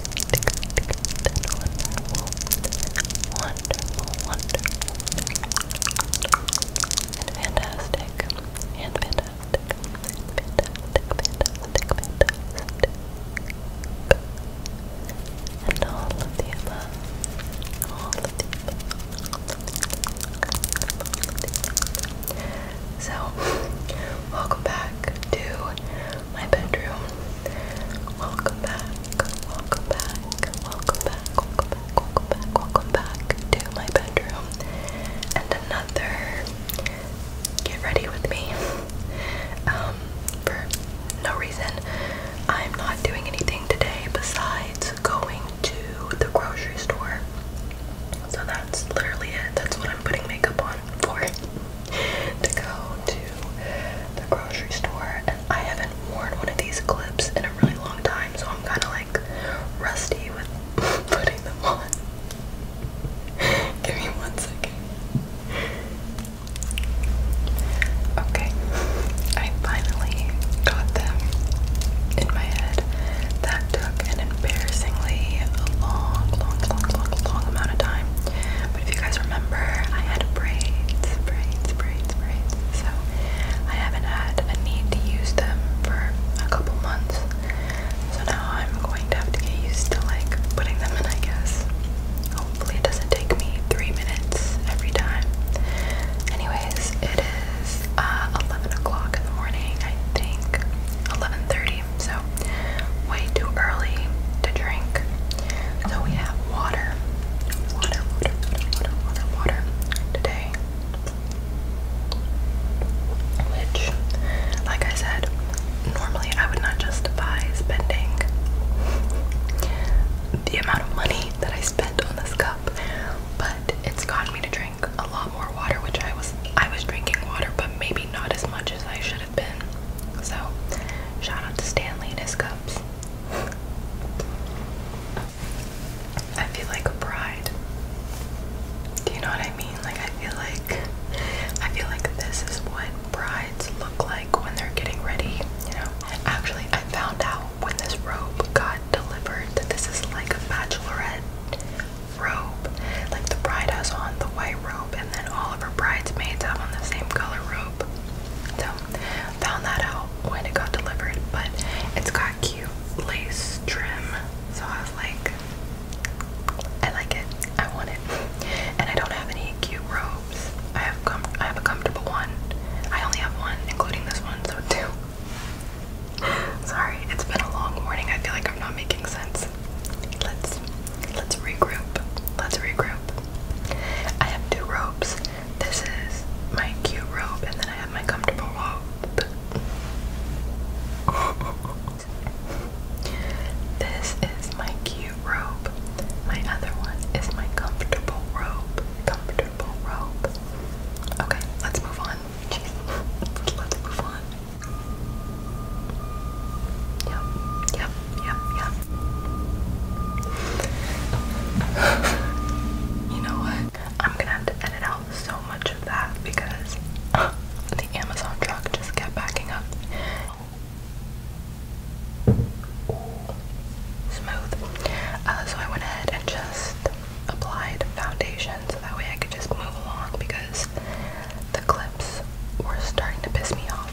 wonderful, wonderful, wonderful, and fantastic, and fantastic, fantastic, fantastic, and all of the above, all of the above. So, welcome back to my bedroom. Welcome back, welcome back, welcome back, welcome back, welcome back, to my bedroom. And another get ready with me. Um, for no reason. I'm not doing anything today besides going to the grocery store. So that's literally it. That's what I'm putting makeup on for to go to the grocery store and I haven't worn one of these clips in a really long time so I'm kind of like rusty with putting them on. Give me one second. Okay, I finally got them in my head. That took an embarrassingly long, long, long, long, long amount of time. But if you guys remember, I had braids, braids, braids, braids. So I haven't had a need to use them for a couple months. So now I'm going to have to get used to like putting them in, I guess. Hopefully it doesn't take me three minutes every time. Anyways, it is uh, 11 o'clock in the morning, I think. 11.30, so way too early to drink. So we have water, water, water, water, water, water today. Which, like I said, normally I would not justify spending the amount of money that I spent on this cup, but it's gotten me to drink a lot more water, which I was I was drinking water, but maybe not as much as I should have been. So shout out to Stanley and his cups. I feel like a bride. Do you know what I mean? Like I feel like I feel like this is what brides look like when they're getting ready, you know. Actually, I found out when this robe got delivered that this is like a bachelorette robe. Like the bride has on the white robe and then all of her bridesmaids have on the same color robe found that out when it got delivered, but it's got cute lace trim, so I was like, I like it, I want it, and I don't have any cute robes. I have com I have a comfortable one. I only have one, including this one, so two. Sorry, it's been a long morning. I feel like I'm not making sense. Let's let's regroup. Let's regroup. I have two robes. This is my cute robe, and then I have my comfortable robe. this is my cute robe. My other one is my comfortable robe. Comfortable robe. Okay, let's move on. let's move on. Yep, yep, Yep, yep. you know what? I'm gonna have to edit out so much of that because the Amazon truck just kept backing up. smooth. Uh, so I went ahead and just applied foundation so that way I could just move along because the clips were starting to piss me off.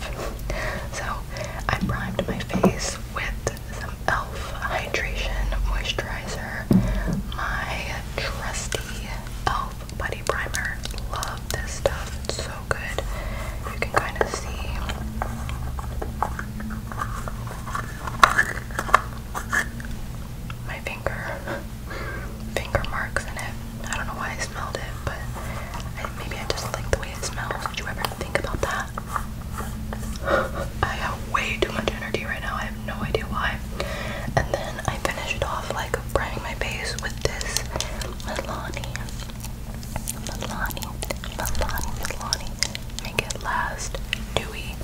So I primed my face with some e.l.f. Hydration Moisturizer, my trusty e.l.f. Buddy Primer. Love this stuff, it's so good. You can kind of see. My finger, finger marks in it. I don't know why I smelled it, but maybe I just like the way it smells. Did you ever think about that? I have way too much energy right now. I have no idea why. And then I finish it off like priming my face with this Milani. Milani. Milani. Milani. Make it last. Dewy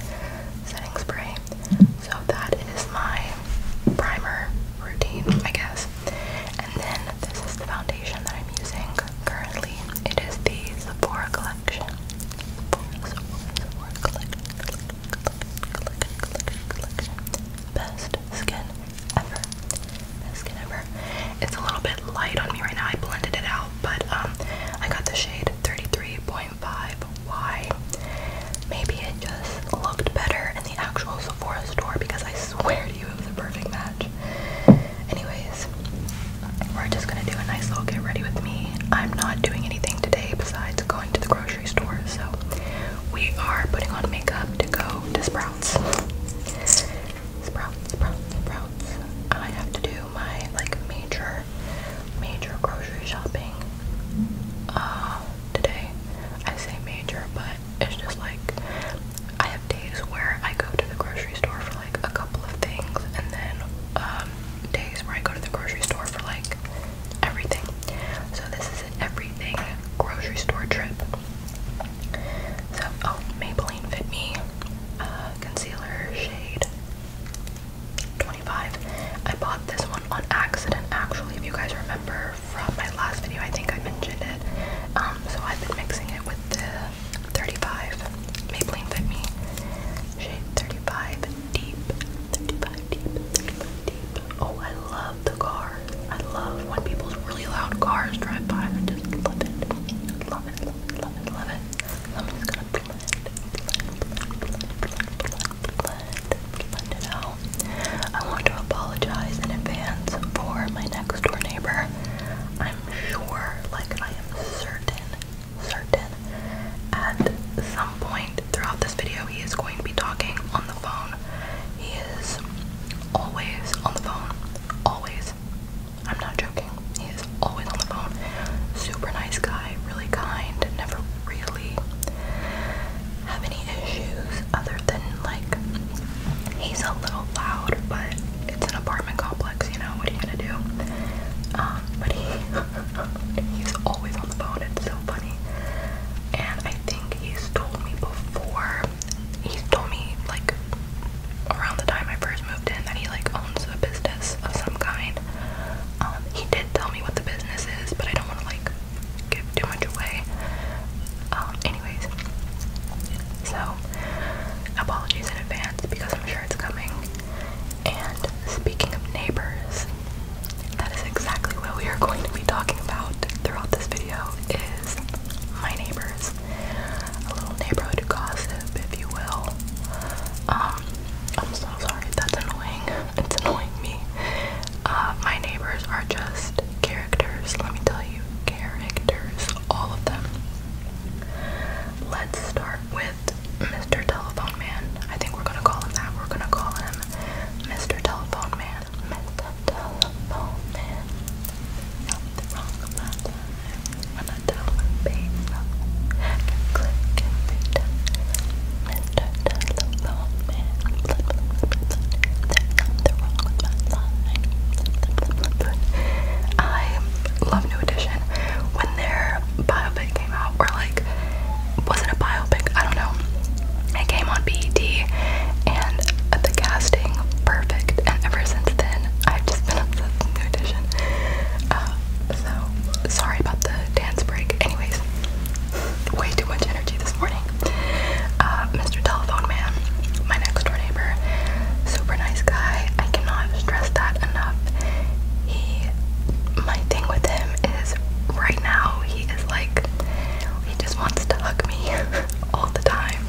setting spray. So that is my primer routine, I guess. And then this is the foundation that I'm using currently. It is the Sephora collection. Best skin ever. Best skin ever. It's a little bit light on me right now. I blended it out, but um, I got the shade 33.5Y. Maybe it just looked better in the actual Sephora store because I swear to you it was a perfect match. Anyways, we're just gonna do a nice little get ready with me. I'm not doing anything today besides going to the grocery store, so we are putting on makeup to go to Sprouts. Sprouts, Sprouts, Sprouts. I have to do my like major, major grocery shopping uh, today. I say major, but it's just like I have days where I go to the grocery store for like a couple of things, and then um, days where I go to the grocery store for like everything. So this is an everything grocery store trip. So oh, Maybelline Fit Me uh, concealer shade 25. I bought this one on accident, actually. If you guys remember from my last video, I think I mentioned it. Um, so I've been mixing it with the 35 Maybelline Fit Me shade 35 deep 35 deep 35 deep oh I love the car I love when people's really loud cars drive by I just love it love it love it love it I'm just gonna blend blend blend blend blend blend it out I want to apologize in advance for my next door neighbor I'm sure, like I am certain, certain, at some point throughout this video he is going to be talking on the phone. He is always on the phone. Always. I'm not joking. He is always on the phone. Super nice guy, really kind, never really have any issues other than like he's a little loud, but it's an apartment complex, you know, what are you gonna do? Um, but he he's always on the phone, it's so funny. And I think he's told me before he's told me like around the time I first moved in that he like owns a business of some kind. Um, he did tell me what the business is, but I don't wanna like give too much away. Um, anyways, so, apologies in advance because I'm sure it's coming. And speaking of neighbors, that is exactly what we are going to be talking about throughout this video is my neighbors. A little neighborhood gossip, if you will. Um, I'm so sorry, that's annoying. It's annoying me. Uh, my neighbors are just characters, let me tell you, characters, all of them. Let's start with Mr. Telephone Man. I think we're gonna call him that. We're gonna call him Mr. Telephone Man. Mr. Telephone Man. Nothing wrong about that. When I tell him click Mr. Telephone Man. There's wrong with I love New Edition when their biopic came out, or like, was it a biopic? I don't know. It came on BET, and the casting perfect. And ever since then, I've just been obsessed with New Edition. Uh, so sorry about the dance break. Anyways, way too much energy this morning. Uh, Mr. Telephone Man, my next door Super nice guy. I cannot stress that enough. He, my thing with him is right now he is like, he just wants to hug me all the time.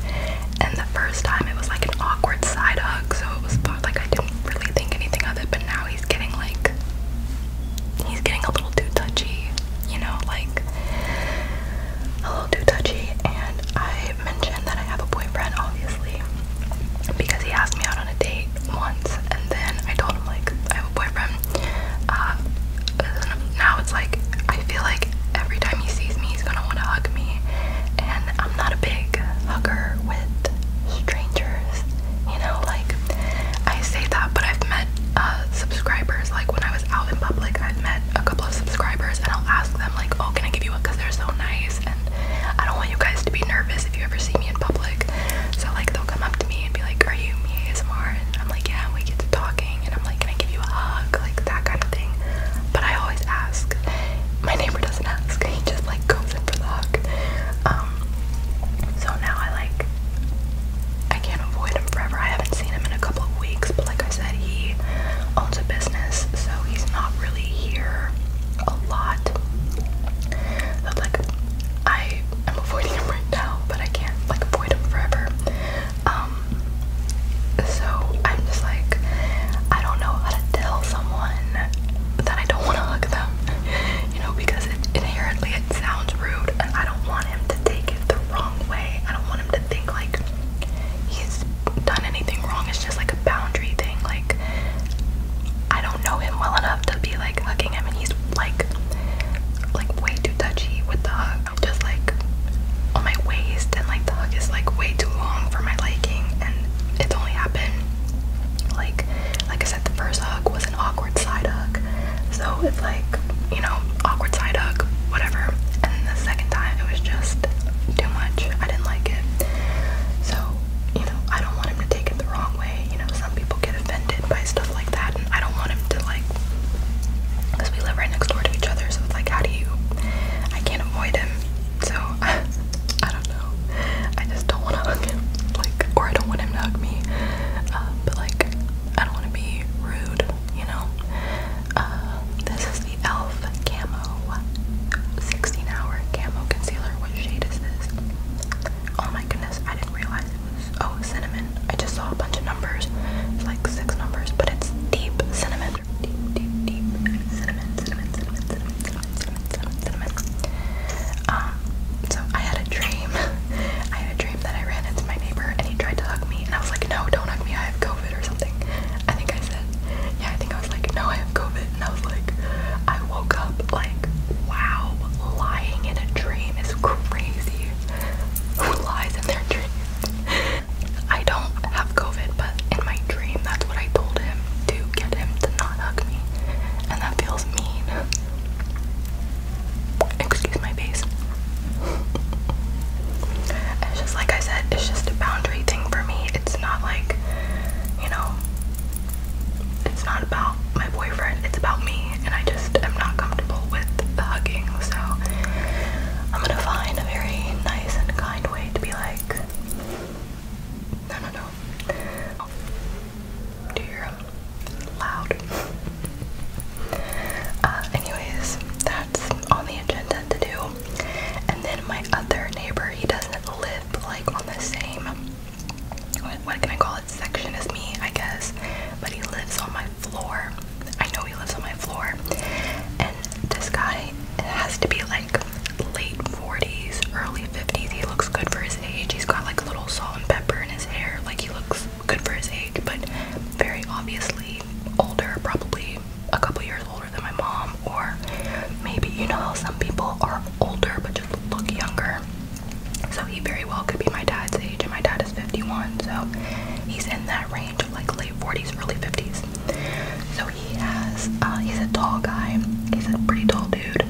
And the first time it was like an awkward side hug, so it was like I didn't really think anything of it. But now he's getting like, he's getting a little too touchy, you know, like a little too touchy, and I I mentioned that I have a boyfriend, obviously, because he asked me out on a date once, and then I told him like I have a boyfriend. Uh, now it's like I feel like every time he sees me, he's gonna want to hug me, and I'm not a big hugger with strangers. You know, like I say that, but I've met uh, subscribers. Like when I was out in public, I've met a couple of subscribers, and I'll ask them like, "Oh, can I give you a?" Because they're so nice, and I don't want you guys to be nervous if you ever see me in public. So like they'll come up to me and be like, "Are you me ASMR?" And I'm like, "Yeah." And we get to talking, and I'm like, "Can I give you a hug?" Like that kind of thing. But I always ask. My neighbor doesn't ask. He just like goes in for the hug. Um. So now I like. I can't avoid him forever. I haven't seen him in a couple of weeks, but like I said, he owns a business, so he's not really here a lot. like I am avoiding him right now, but I can't like avoid him forever. Um so I'm just like I don't know how to tell someone that I don't want to hug them. You know, because it inherently it sounds rude and I don't want him to take it the wrong way. I don't want him to think like he's done anything wrong. It's just like a boundary thing. Like I don't know him well enough to be like hugging him, and he's like like way too touchy with the hug. I'm just like on my waist, and like the hug is like way too long for my liking, and it's only happened like like I said, the first hug was an awkward side hug, so it's like you know awkward side hug, whatever. And the second time it was just too much. I didn't like it. So you know, I don't want him to take it the wrong way. You know, some people get offended by stuff like that, and I don't want him to like, because we live right next door to each other, so it's like, how do you? I can't avoid him, so I don't know. I just don't want to hug him, like, or I don't want him to hug me. Uh, but like, I don't want to be rude, you know. Uh, this is the e.l.f. Camo 16 Hour Camo Concealer. What shade is this? Oh my goodness, I didn't realize it was. Oh, cinnamon. I just saw a bunch of numbers. It's like six numbers, but it's deep cinnamon. Deep, deep, deep cinnamon, cinnamon, cinnamon, cinnamon, cinnamon, cinnamon, cinnamon. Um, so I had a dream. I had a dream that I ran into my neighbor and he tried to hug me, and I was like, no, don't hug me, I have COVID or something. I think I said, yeah, I think I was like, no, I have COVID. And I was like, I woke up like, wow, lying in a dream is crazy. Who lies in their dreams? I don't have COVID, but in my dream, that's what I told him to get him to not hug me. And that feels mean. Excuse my face. it's just like I said, it's just a boundary thing for me. It's not like you know, it's not about my boyfriend, it's about me, and I just am not comfortable with the hugging. So I'm gonna find a very nice and kind way to be like, no, no, no. Oh, dear, loud. Uh, anyways, that's on the agenda to do. And then my other neighbor, he doesn't live like on the same what, what can I call it section as me, I guess. But he lives on my floor. I know he lives on my floor. And this guy has to be like late 40s, early 50s. He looks good for his age. He's got like a little salt and pepper in his hair. Like he looks good for his age, but very obviously older, probably a couple years older than my mom, or maybe you know how some people are older but just look younger. So he very well could be my dad's age, and my dad is 51, so he's in that range of like late 40s, early 50s. So he has, uh, he's a tall guy, he's a pretty tall dude,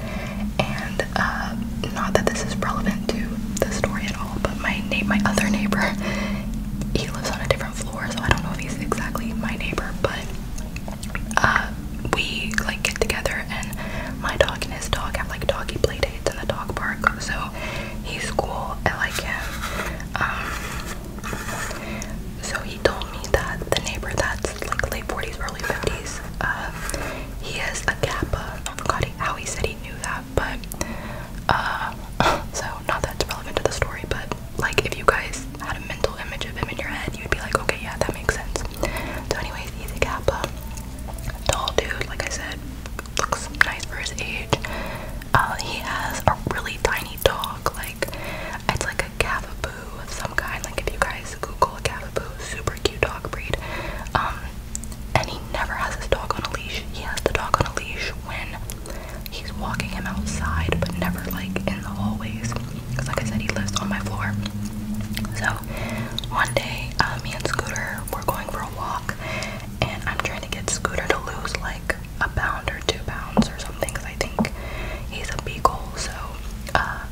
and uh, not that this is relevant to the story at all, but my na my other neighbor, he lives on a different floor, so I don't know if he's exactly my neighbor, but uh, we like get together and my dog and his dog have like doggy playdates in the dog park. So he's cool. I like him. Um, so he told me that the neighbor that's like late 40s, early 50s, uh, he has a gap. I forgot how he said he knew that, but uh, so not that it's relevant to the story, but like if you guys had a mental image of him in your head, you'd be like, okay, yeah, that makes sense. So, anyways, he's a Kappa, tall dude. Like I said, looks nice for his age. Uh, he has a really tiny dog. Like it's like a Cavapoo of some kind. Like if you guys Google a Cavapoo, super cute dog breed. Um, and he never has his dog on a leash. He has the dog on a leash when he's walking him outside, but never like in the hallways because like I said, he lives on my floor. So one day, uh, me and Scooter were going for a walk, and I'm trying to get Scooter to lose like a pound or two pounds or something, because I think he's a beagle. So uh,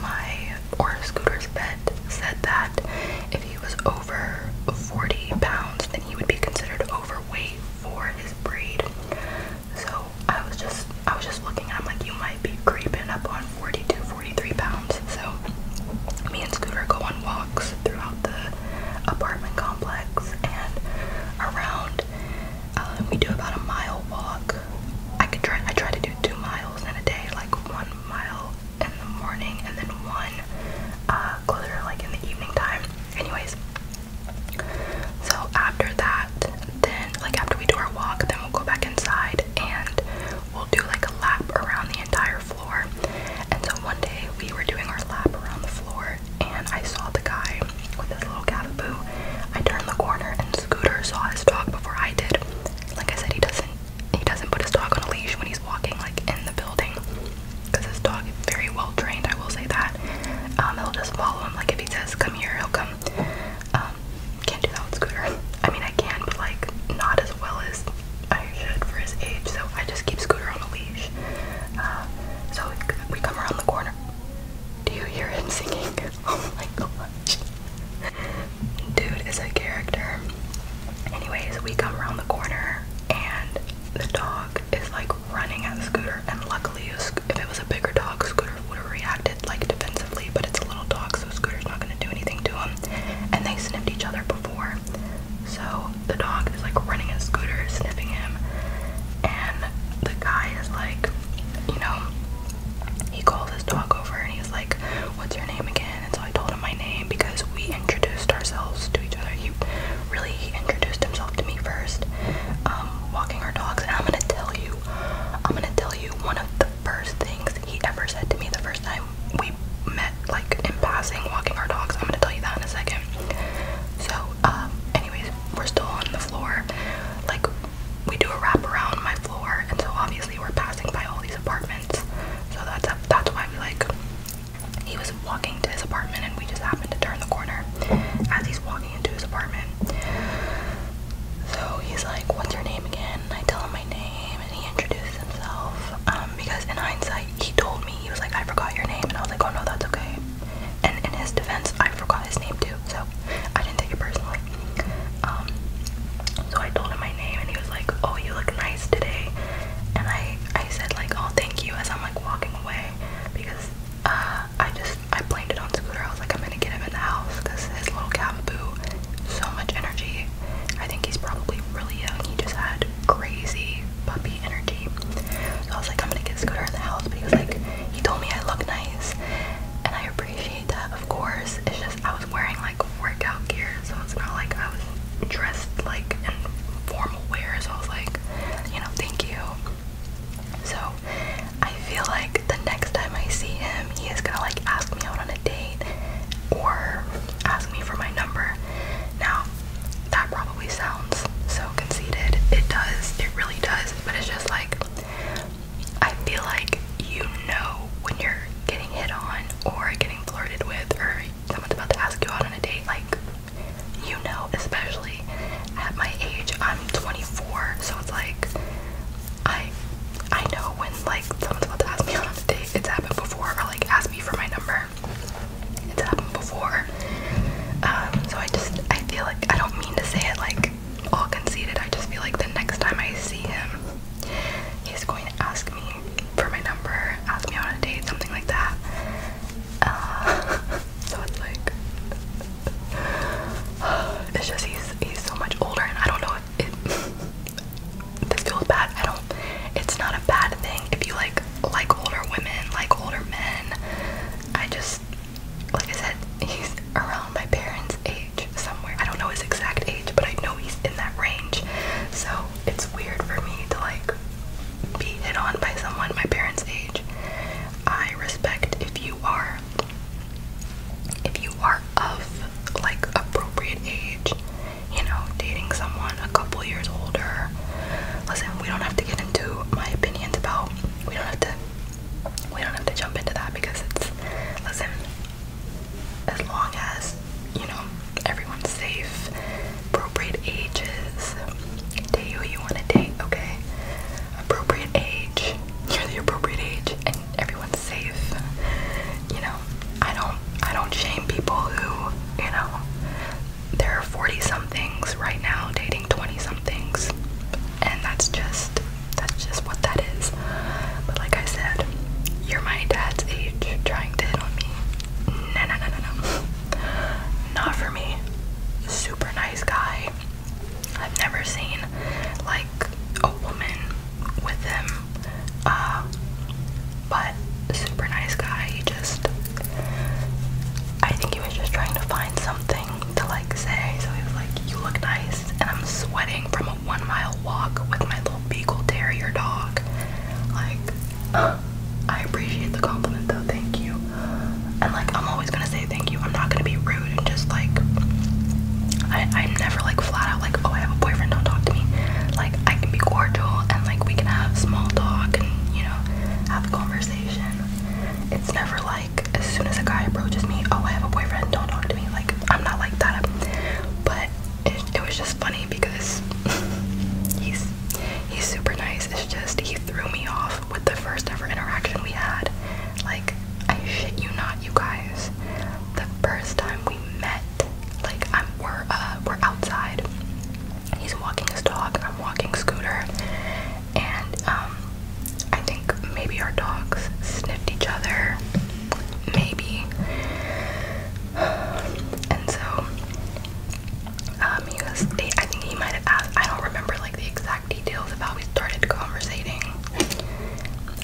my or Scooter's vet said that if he was over 40 pounds, then he would be considered overweight for his breed. So I was just I was just looking and I'm like you might be creeping up on 42, 43 pounds. So me and Scooter go on walks throughout the apartment complex and around uh, we do about a mile walk. I could try I try to do two miles in a day, like one mile in the morning and then one uh, closer like in the evening time. Anyways, so after that, then like after we do our walk, then we'll go back inside and we'll do like a lap around the entire floor. And so one day we were doing our lap around the floor and I saw the guy with his little Cavapoo. I turned the corner and Scooter saw his dog before I did. Like I said, he doesn't he doesn't put his dog on a leash when he's walking like in the building because his dog is very well trained. I will say that. Um, he'll just follow him. Like if he says come here, he'll come. Um, um, can't do that with Scooter. I mean, I can, but like not as well as I should for his age. So I just keep Scooter on a leash. Uh, so we, come around the corner. Do you hear him singing? Oh my gosh. Dude is a character. Anyways, we come around the corner and the dog is like running at the Scooter, and luckily if it was a bigger dog, Scooter would have reacted like defensively, but it's a little dog, so Scooter's not gonna do anything to him. And they sniffed each other before. So the dog is like running at Scooter, sniffing him, and the guy is like, you know, he called his dog over and he's like, What's your name again? And so I told him my name because we introduced ourselves to each other. He really he introduced himself to me first, um, walking our dogs, and I'm gonna tell you I'm gonna tell you one of the first things he ever said to me the first time we met, like in passing, walking our dogs. I'm gonna tell you that in a second. So, um, anyways, we're still on the floor. Like, we do a wrap around my floor, and so obviously we're passing by all these apartments. So that's that's why we like. He was walking to his apartment, and we just happened to turn the corner. As he's walking into his apartment. So he's like, What's your name again? I tell him my name and he introduces himself. Um, because in hindsight he told me he was like, I forgot your name and I was like, Oh no, that's okay. And in his defense I forgot his name too, so I didn't take it personally. Um, so I told him my name and he was like, Oh, you look nice today and I I said like, Oh thank you as I'm like walking away because uh, I just I blamed it on Scooter. I was like, I'm gonna get him in the house because his little caboo, so much energy. I think he's probably really young. He just had crazy puppy energy. I was like, I'm gonna get Scooter in the house. But he was like, he told me I look nice, and I appreciate that, of course. It's just I was wearing like workout gear, so it's not like I was dressed like in formal wear. So I was like, you know, thank you. So I feel like the next time I see him, he is gonna like ask me out on a date or ask me for my number. Now, that probably sounds so conceited. It does, it really does, but it's just like I feel like you know when you're getting hit on or getting flirted with or someone's about to ask you out on a date, like you know, especially at my age, I'm 24, so it's like I I know when like someone's about to ask me on a date, it's happened before, or like ask me for my number. It's happened before. Um, so I just I feel like I don't mean to say it like all conceited. I just feel like the next time I see him, he's going to ask me for my number, ask me on a date, something like that. Uh, so it's like it's just he's he's so much older, and I don't know if it this feels bad. I don't. It's not a bad thing if you like like older women, like older men. I just like I said, he's around my parents' age somewhere. I don't know his exact age, but I know he's in that range. So it's weird for me to like be hit on by someone my parents' age. I respect if you are if you are of like appropriate age, you know, dating someone a couple years older. Listen, we don't have to get into my opinions about we don't have to we don't have to jump into that because it's listen, as long as, you know, everyone's safe, appropriate ages, date who you want to date, okay? Appropriate age, you're the appropriate age, everyone's safe. You know, I don't I don't shame people who, you know, there are 40 somethings right now dating 20 somethings. And that's just that's just what that is. But like I said, you're my dad's age trying to hit on me. No, no, no, no, no. Not for me. Super nice guy. I've never seen like a woman with him. Uh, but super nice guy. He just, I think he was just trying to find something to like say. So he was like, "You look nice," and I'm sweating from a one-mile walk with my little beagle terrier dog. Like, I appreciate the compliment though. Thank you. And like, I'm always gonna say thank you. I'm not gonna be rude rude and just like I, I'm never like flat out like oh I have a boyfriend don't talk to me like I can be cordial and like we can have small talk and you know have a conversation it's never like as soon as a guy approaches me oh I have a boyfriend don't talk to me like I'm not like that but it was just funny because he's he's super nice it's just he threw me off with the first ever interaction we had like, I shit you not, you guys. The first time we met, like, I'm we're uh we're outside. He's walking his dog. I'm walking Scooter, and um, I think maybe our dogs sniffed each other, maybe. And so, um, he was. I think he might have asked. I don't remember like the exact details of how we started conversating,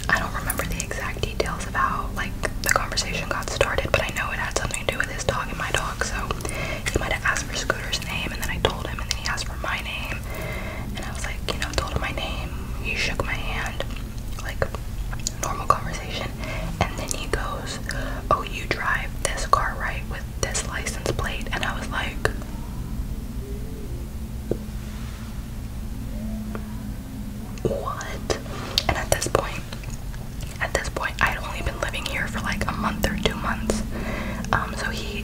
I don't remember the exact details of how like the conversation got started, but I know it had something to do with his dog and my dog. So he might have asked for Scooter's name, and then I told him, and then he asked for my name, and I was like, you know, told him my name. He shook my hand, like normal conversation, and then he goes, "Oh, you drive this car right with this license plate," and I was like what? And at this point, at this point, I had only been living here for like a month or two months. Um, so he,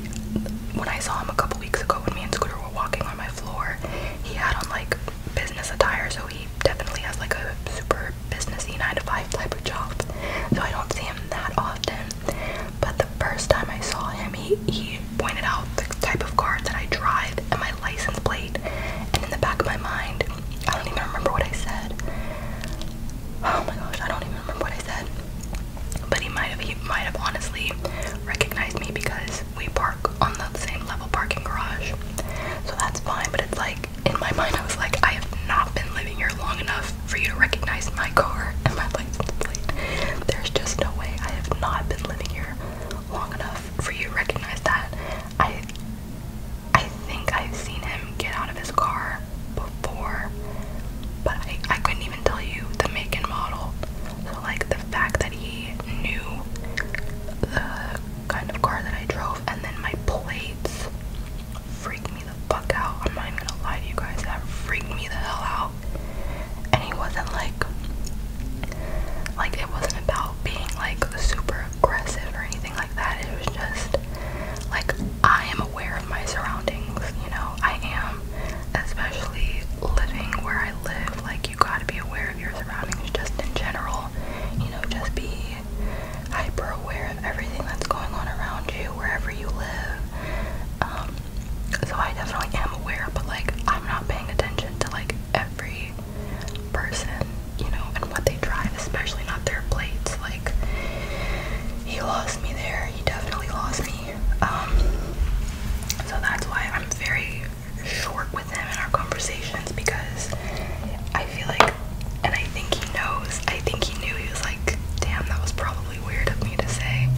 when I saw him a couple weeks ago, when me and Scooter were walking on my floor, he had on like business attire. So he definitely has like a super businessy nine to five type of job. So I don't see him that often. But the first time I saw him, he he pointed out the type of car that I drive and my license plate, and in the back of my mind, I don't even remember what I said. Oh my gosh, I don't even remember what I said. But he might have he might have honestly recognized me because we park on the same level parking garage. So that's fine, but it's like in my mind I was like, I have not been living here long enough for you to recognize my car and my license plate. There's just no way I have not been living here long enough for you to recognize that. I I think I've seen him get out of his car before, but I, I couldn't even tell you the make and model. So like the fact that he knew the kind of car that I drove and then my plates freaked me the fuck out. I'm not even gonna lie to you guys, that freaked me the hell out. And he wasn't like like, it wasn't about being like super aggressive or anything like that. It was just like I am aware of my surroundings, you know, I am, especially living where I live. Like, you gotta be aware of your surroundings just in general, you know, just be hyper aware of everything that's going on around you, wherever you live. Um, so I definitely am aware, but like, I'm not paying attention to like every person, you know, and what they drive, especially not their plates. Like, he lost me there. He definitely lost me. Um, so that's why I'm very short with him in our conversations because I feel like, and I think he knows, I think he knew he was like, damn, that was probably weird of me to say.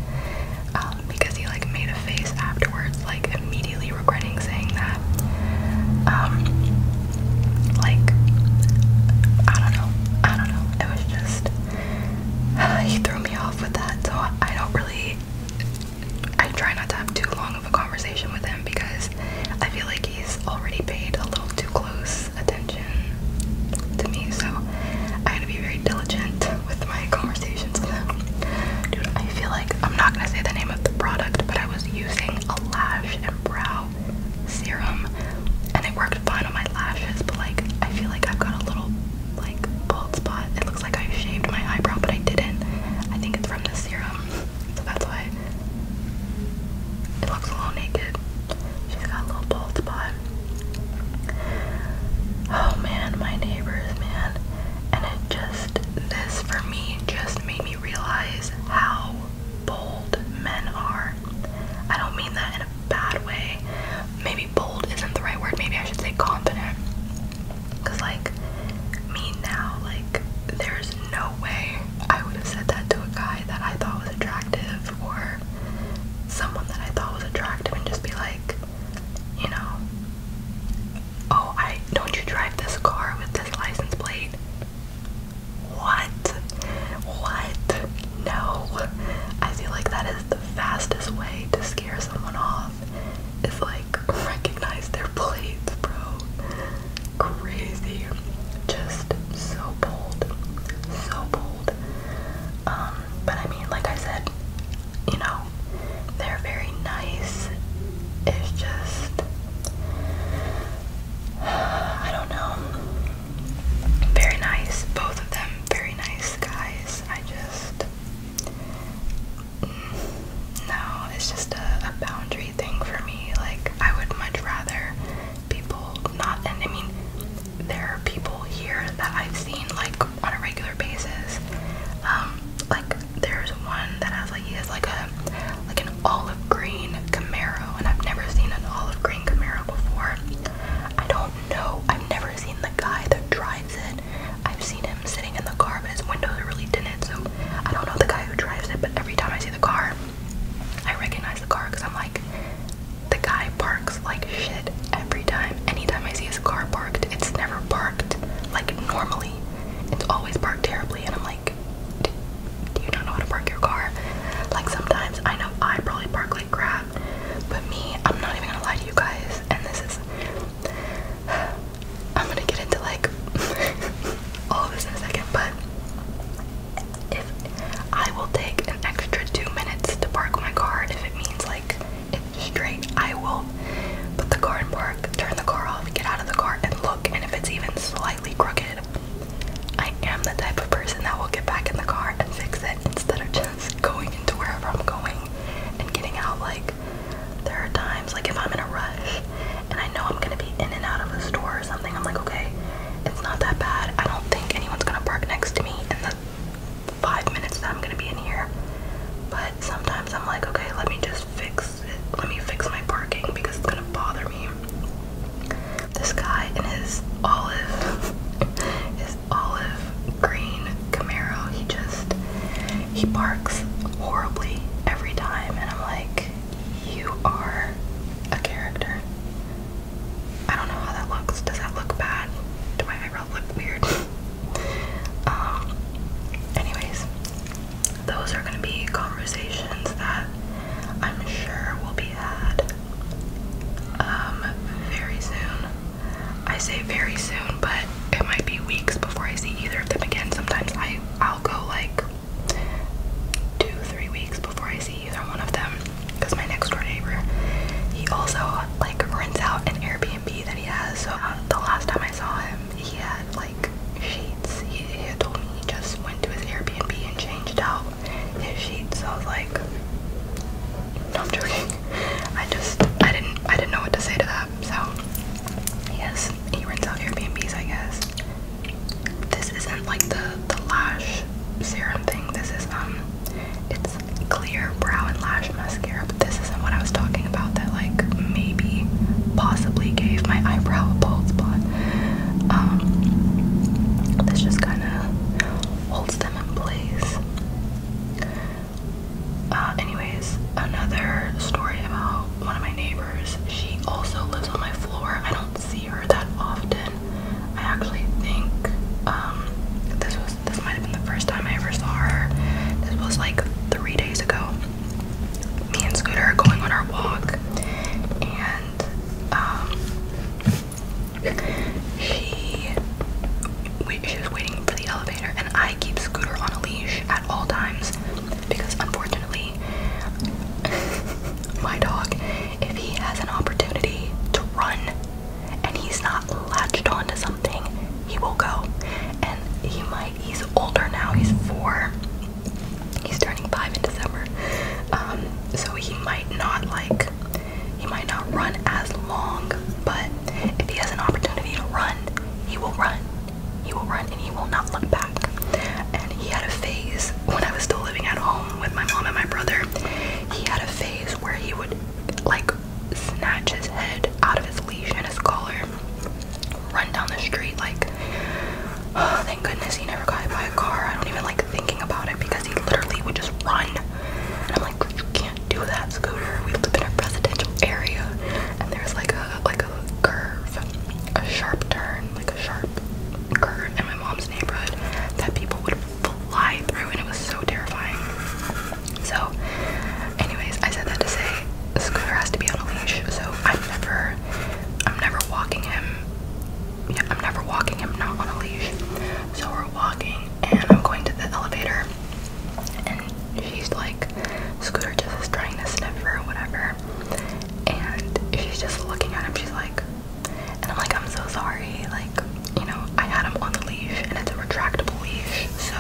Um, because he like made a face afterwards, like immediately regretting saying that. Um, like I don't know, I don't know. It was just he threw me off with that, so I don't really. I try not to have too long of a conversation with him because I feel like he's already paid a little too close attention to me, so I gotta be very diligent with my conversation. Dude, I feel like I'm not gonna say the name of the product, but I was using a lash and brow serum and it worked fine on my lashes, but like I feel like I've got a little like bald spot. It looks like I shaved my eyebrow, but I didn't. I think it's from the serum, so that's why it looks a little naked. She's got a little bald spot. Oh man, my neighbors, man. And it just this for me just made me realize how bold men are. I don't mean that in a bad way. Maybe bold isn't the right word. Maybe I should say confident. Cause like me now, like there's no way I would have said that to a guy that I thought was attractive or someone that I thought was attractive and just be like, you know, oh, I don't you drive this car with this license plate? What? What? No. I feel like that is the fastest way to scare someone off is like recognize their plates, bro. Crazy. Just so bold. So bold. Um, but I mean, like I said, you know, they're very nice. It's just, I don't know. Very nice. Both of them, very nice guys. I just, no, it's just a, a boundary thing for me. Like, I would much rather people not, and I mean, there are people here that I've seen like on a regular basis. Um, like there's one that has like he has like a like an olive green Camaro, and I've never seen an olive green Camaro before. I don't know. I've never seen the guy that drives it. I've seen him sitting in the car, but his windows are really tinted, so I don't know the guy who drives it. But every time I see the car, I recognize the car because I'm like, the guy parks like shit every time. Anytime I see his car parked, it's never parked like normally. It's always parked terribly, and I'm like, do, you not know how to park your car? Like sometimes I know I probably park like crap, but me, I'm not even gonna lie to you guys. And this is, I'm gonna get into like all of this in a second, but if I will take an extra two minutes to park my car, if it means like straight, I will Put the car in park, turn the car off, get out of the car, and look. And if it's even slightly crooked, I am the type of person that will get back in the car and fix it instead of just going into wherever I'm going and getting out. Like, there are times, like, if I'm in a rush and I know I'm gonna be in and out of a store or something, I'm like, okay, it's not that bad. I don't think anyone's gonna park next to me in the five minutes that I'm gonna be in here. But sometimes I'm like, okay, let me just fix let me fix my parking because it's gonna bother me. This guy in his olive, his olive green Camaro, he just he barks horribly every time, and I'm like, you are a character. I don't know how that looks. Does that look bad? Do my eyebrows look weird? um. Anyways, those are going to be conversations that I'm sure will be had um, very soon. I say very soon, but it might be weeks before I see either of them again. Sometimes I, I'll go like two, three weeks before I see either one of them because my next door neighbor, he also like rents out an Airbnb that he has. So uh, the last time I saw him, he had like sheets. He, told me he just went to his Airbnb and changed out his sheets. So I was like, I'm joking. I just I didn't I didn't know what to say to that. So yes, he rents out Airbnbs, I guess. This isn't like the the lash serum thing. This is um, it's clear brow and lash mascara. But this this isn't what I was talking about that like maybe possibly gave my eyebrow a bald spot. Um, this just kind of holds them in place. Uh, anyways, another story about one of my neighbors. She also lives on my floor. I don't see her that often. I actually think um, this was this might have been the first time I ever saw her. This was like three days ago me and Scooter are going on our walk, and um, she, she was waiting for the elevator, and I keep Scooter on a leash at all times because, unfortunately, my dog, if he has an opportunity to run and he's not latched onto something, he will go, and he might he's older now, he's four. He's turning five in December. Um, so he might not like he might not run as long, but if he has an opportunity to run, he will run. He will run and he will not look back. And he had a phase when I was still living at home with my mom and my brother. He had a phase where he would like snatch his head out of his leash and his collar run down the street like oh, thank goodness he never got hit by a car. I don't even like thinking about it because he literally would just run. And I'm like, you can't do that, Scooter. We live in a residential area and there's like a like a curve, a sharp turn, like a sharp curve in my mom's neighborhood that people would fly through and it was so terrifying. So anyways, I said that to say Scooter has to be on a leash, so I'm never I'm never walking him yeah, I'm never walking him not on a leash. So we're walking and I'm going to the elevator and she's like Scooter just is trying to sniff her or whatever and she's just looking at him, she's like and I'm like, I'm so sorry, like, you know, I had him on the leash and it's a retractable leash, so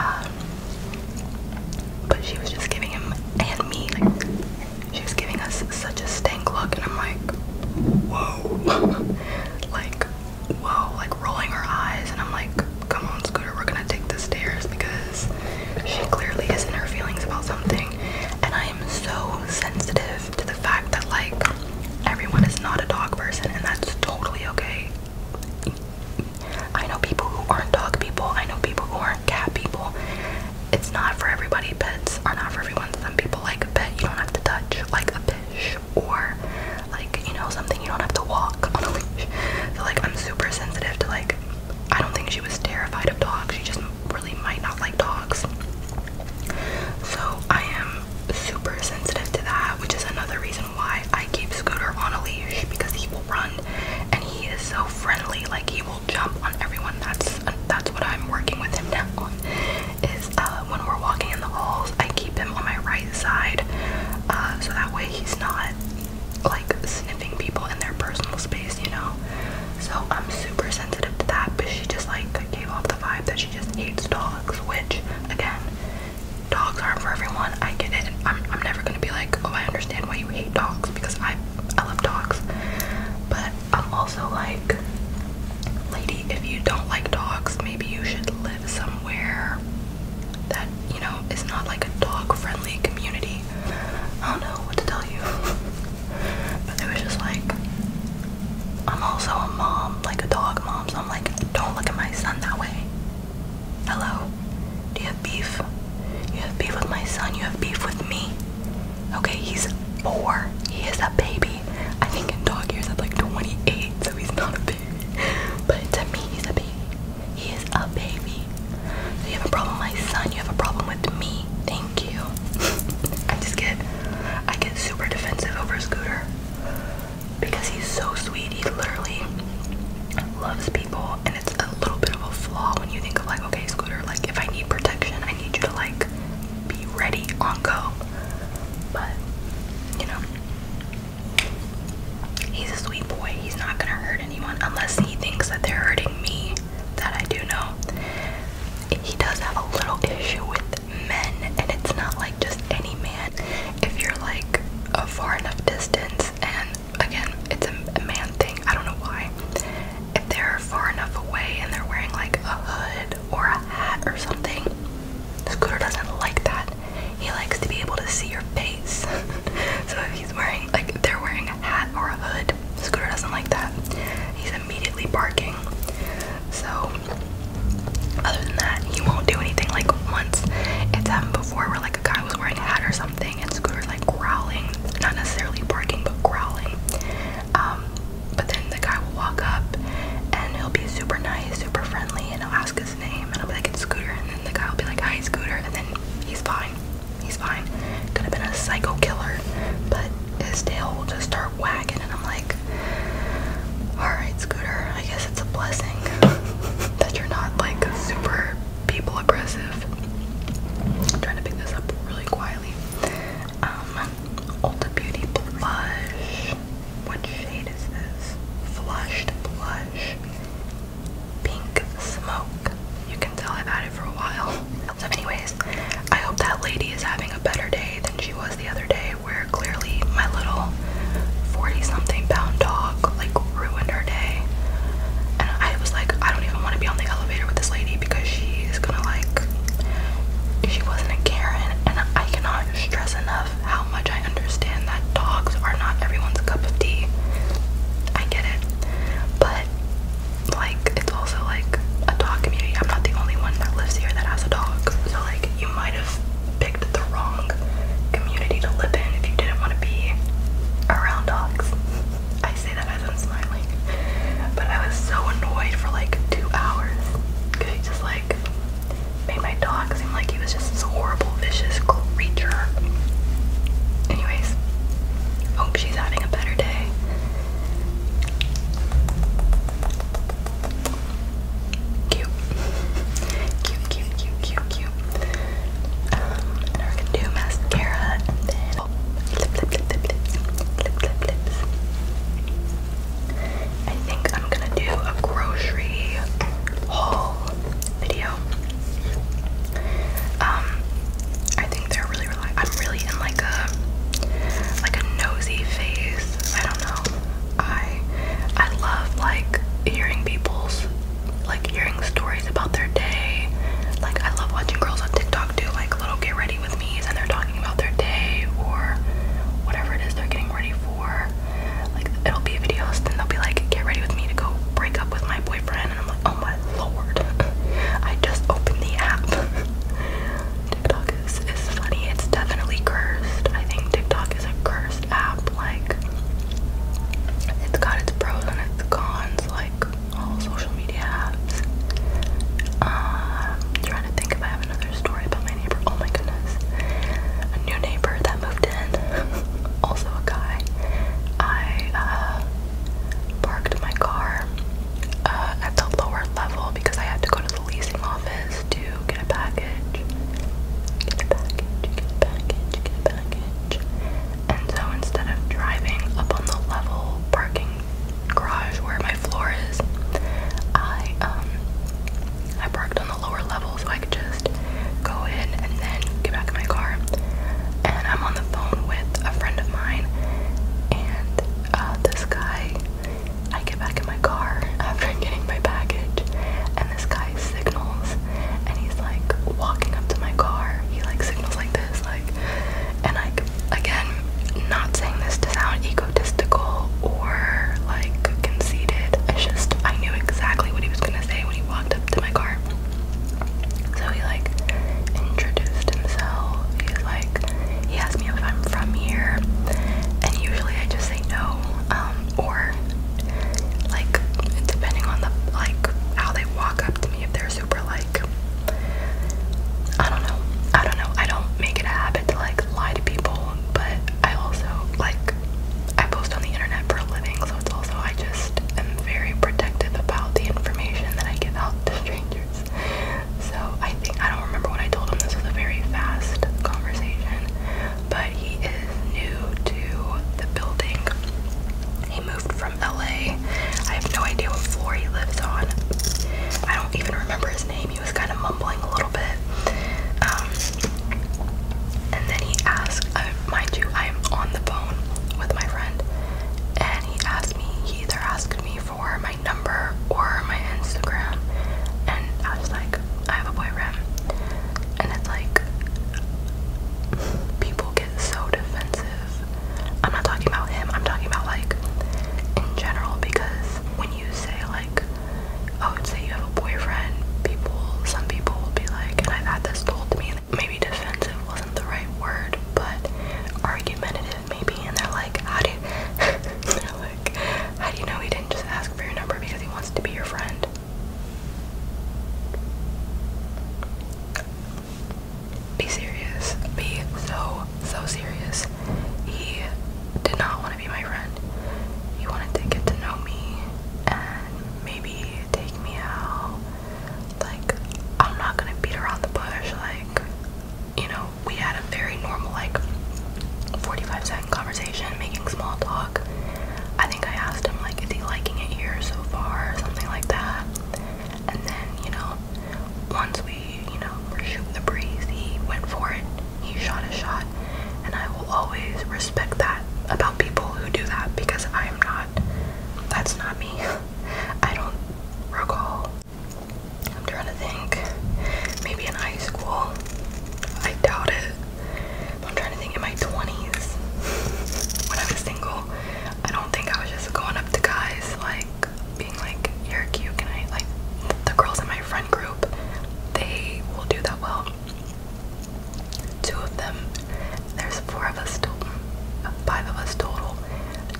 um but she was just giving him and me, she was giving us such a stank look, and I'm like, whoa. like, whoa, like rolling her eyes, and I'm like, come on, Scooter, we're gonna take the stairs because she clearly is in her feelings about something. And I am so sensitive to the fact that, like, everyone is not a dog person, and that's totally okay. I know people who aren't dog people, I know people who aren't cat people. It's not for everybody. Pets are not for everyone. Some people like a pet you don't have to touch, like a fish, or like, you know, something you don't have to walk on a leash. So, like, I'm super sensitive to, like, I don't think she was terrified of dogs. She just really might not like dogs. So, I am super sensitive to that, which is another reason why I keep Scooter on a leash because he will run and he is so friendly. Like he will jump on everyone. That's that's what I'm working with him now Is uh, when we're walking in the halls, I keep him on my right side, uh, so that way he's not like sniffing people in their personal space, you know. So I'm super sensitive to that. But she just like gave off the vibe that she just hates dogs, which again. Dogs aren't for everyone. I get it. I'm, I'm never gonna be like, oh, I understand why you hate dogs because I I love dogs. But I'm also like, lady, if you don't like dogs, maybe you should live somewhere that, you know, is not like a dog-friendly community. I don't know what to tell you. but it was just like I'm also a mom, like a dog mom, so I'm like, don't look at my son that way. Hello? Do you have beef? You have beef with my son, you have beef with me. Okay, he's four. He is a baby. I think in dog years i like 28, so he's not a baby. But to me, he's a baby. He is a baby. you have a problem my son, you have a problem with me. Thank you. I just get I get super defensive over Scooter. Because he's so sweet. He literally loves people and it's a little bit of a flaw when you think of like okay scooter like if i need protection i need you to like be ready on go but you know he's a sweet boy he's not gonna hurt anyone unless he thinks that they're hurting me that i do know he does have a little issue with men and it's not like just any man if you're like a far enough distance and again, it's a, man thing. I don't know why. If they're far enough away and they're wearing like a hood or a hat or something, Scooter doesn't like that. He likes to be able to see your face. so if he's wearing like if they're wearing a hat or a hood, Scooter doesn't like that. He's immediately barking. So other than that, he won't do anything like once. It's happened before where like a guy was wearing a hat or something grunting and Scooter like growling, not necessarily barking, but growling. Um, but then the guy will walk up and he'll be super nice, super friendly, and I'll ask his name and I'll be like, it's Scooter. And then the guy will be like, hi, Scooter. And then he's fine. He's fine. Could have been a psycho killer, but his tail will just start wagging. And I'm like, alright, Scooter, I guess it's a blessing that you're not like super people aggressive. trying to pick this up really quietly. Ulta um, Beauty Blush. What shade is this? Flushed Blush. Pink Smoke. You can tell I've had it for a while. So anyways, I hope that lady is having a better day than she was the other day where clearly my little 40 something pound dog like ruined her day. And I was like, I don't even want to be on the elevator with this lady because she is gonna like she wasn't a Karen and I cannot stress enough how much I understand that dogs are not everyone's cup of tea. I get it. But like it's also like a dog community. I'm not the only one that lives here that has a dog. So like you might have picked the wrong community to live in if you didn't want to be around dogs. I say that as I'm smiling. But I was so annoyed for like two hours. Cause he just like made my dog seem like he was just this horrible, vicious creature. Anyways, hope she's having a better day. Cute. Cute, cute, cute, cute, um, we're gonna do mascara and then I think I'm gonna do a grocery haul video. Um, I think they're really, really. I'm really in like a like a nosy phase. I don't know. I I love like hearing people's like hearing stories about their day. Like I love watching girls on TikTok do like little get ready with me's and they're talking about their day or whatever it is they're getting ready for. Like it'll be videos, then they'll be like, get ready with me to go break up with my boyfriend and I'm like, oh my lord. I just opened the app. TikTok is, is funny. It's definitely cursed. I think TikTok is a cursed app, like it's got its pros and its cons, like all social media apps. Um, trying to think if I have another story about my neighbor. Oh my goodness. A new neighbor that moved in, also a guy. I uh, parked my car uh, at the lower level because I had to go to the leasing office to get a package. Get a package, get a package, get a package. And so instead of driving up on the level parking garage where my floor is, I um I parked on the lower level so I could just go in and then get back in my car. And I'm on the phone with a friend of mine and uh, this guy I get back in my car after getting my baggage and this guy signals and he's like walking up to my car. He like signals like this like and like again not saying this to sound egotistical or like conceited it's just i knew exactly what he was gonna say when he walked up to my car so he like introduced himself he's like he asked me if i'm from here and usually i just say no um or like depending on the like how they walk up to me if there's super like I don't know. I don't know. I don't make it a habit to like lie to people, but I also like I post on the internet for a living, so it's also I just am very protective about the information that I give out to strangers. So I think I don't remember what I told him. This was a very fast conversation, but he is new to the building moved from LA. I have no idea what floor he lives on. I don't even remember his name. He was kind of mumbling a little bit. Um, and then he asked, mind you, I am on the phone with my friend, and he asked me, he either asked me for my number or my Instagram. And I was like, I have a boyfriend. And it's like, people get so defensive I'm not talking about him, I'm talking about like in general because when you say like oh would say you have a boyfriend, people some people will be like and I've had this told to me maybe defensive wasn't the right word but argumentative maybe and they're like how do they're like how do you know he didn't just ask for your number because he wants to be your friend? be serious. Be so, so serious. He did not want to be my friend. He wanted to get to know me and maybe take me out. Like, I'm not gonna beat around the bush. Like, you know, we had a very normal, like, 45 second conversation, making small talk. I think I asked him, like, is he liking it here so far, or something like that. And then, you know, once we, you know, were shooting the breeze, he went for it. He shot a shot. And I will always respect that about people who do that because I am not, that's not me. I don't recall. I'm trying to think. Maybe in high school. I doubt it. I'm trying to think in my 20s. when I was single, I don't think I was just going up to guys like being like, you're cute, can I? Like, the girls in my friend group, they will do that well. Two of them, there's four of us total, five of us total.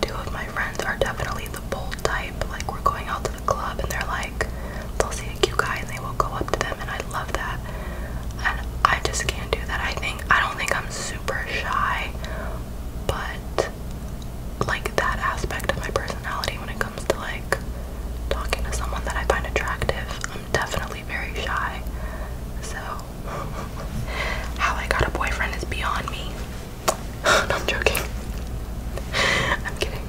Two of my friends are definitely the bold type. Like, we're going out to the club and they're like, they'll see a cute guy and they will go up to them, and I love that. And I just can't do that. I think, I don't think I'm super shy, but like that aspect of my personality when it comes to like talking to someone that I find attractive. I'm definitely very shy. So how I got a boyfriend is beyond me. I'm joking. I'm kidding.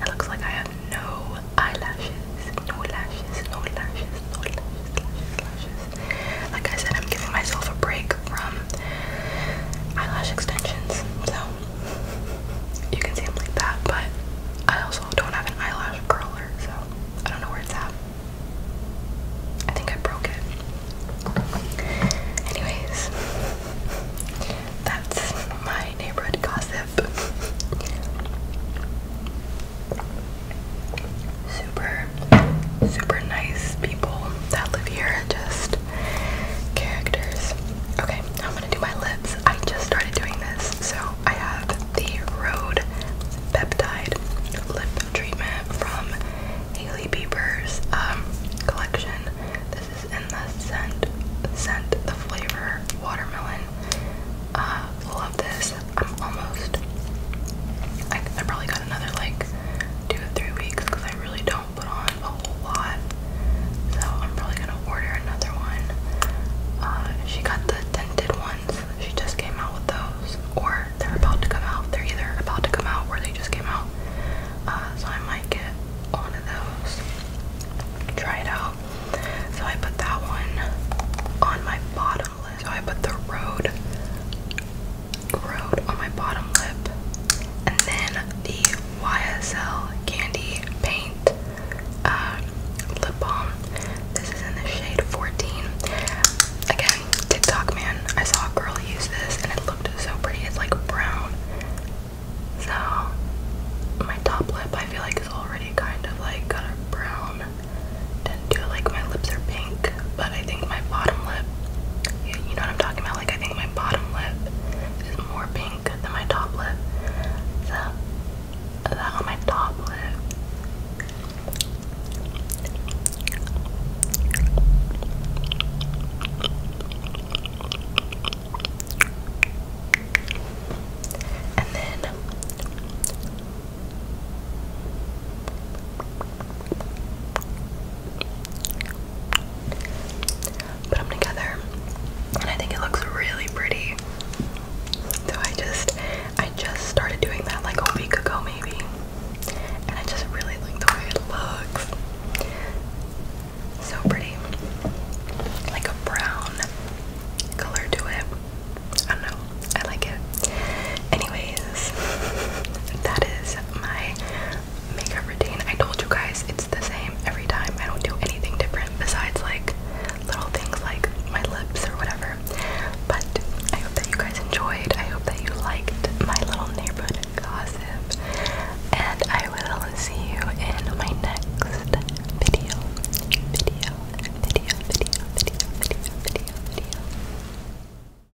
It looks like I have no eyelashes, no lashes, no lashes, no lashes, lashes, lashes. Like I said, I'm giving myself a break from eyelash extensions, so you can see them like that, but I also don't have an eyelash curler, so I don't know where it's at. I think I broke it. Anyways, that's my neighborhood gossip. Super super nice people that live here, just characters. Okay, I'm gonna do my lips. I just started doing this, so I have the Rode Peptide Lip Treatment from Haley Bieber's um, collection. This is in the scent, scent the flavor watermelon. Uh, love this. I'm almost. I probably got another like two to three weeks because I really don't put on a whole lot. So I'm probably gonna order another one. Uh, she got the tinted ones. She just came out with those, or they're about to come out. They're either about to come out or they just came out. Uh, so I might get one of those, try it out. So I put that one on my bottom list. So I put the road road on my bottom lip. And then the YSL Candy Paint uh, Lip Balm. This is in the shade 14. Again, TikTok man. I saw a girl use this and it looked so pretty. It's like brown. So, my top lip I feel like is already kind of like kind of brown tint to it. Like my lips are pink but I think my bottom lip, you, know what I'm talking about? Like, I think my bottom lip is more pink than my top lip. So, that on my top lip. And then Put them together, and I think it looks really pretty. So I just, I just started doing that like a week ago maybe, and I just really like the way it looks. So pretty, like a brown color to it. I don't know. I like it. Anyways, that is my makeup routine. I told you guys it's the same every time. I don't do anything different besides like little things like my lips or whatever. But I hope that you guys enjoyed. I hope that you liked my little neighborhood gossip. And I will see you in my next video. Video, video, video, video, video, video, video.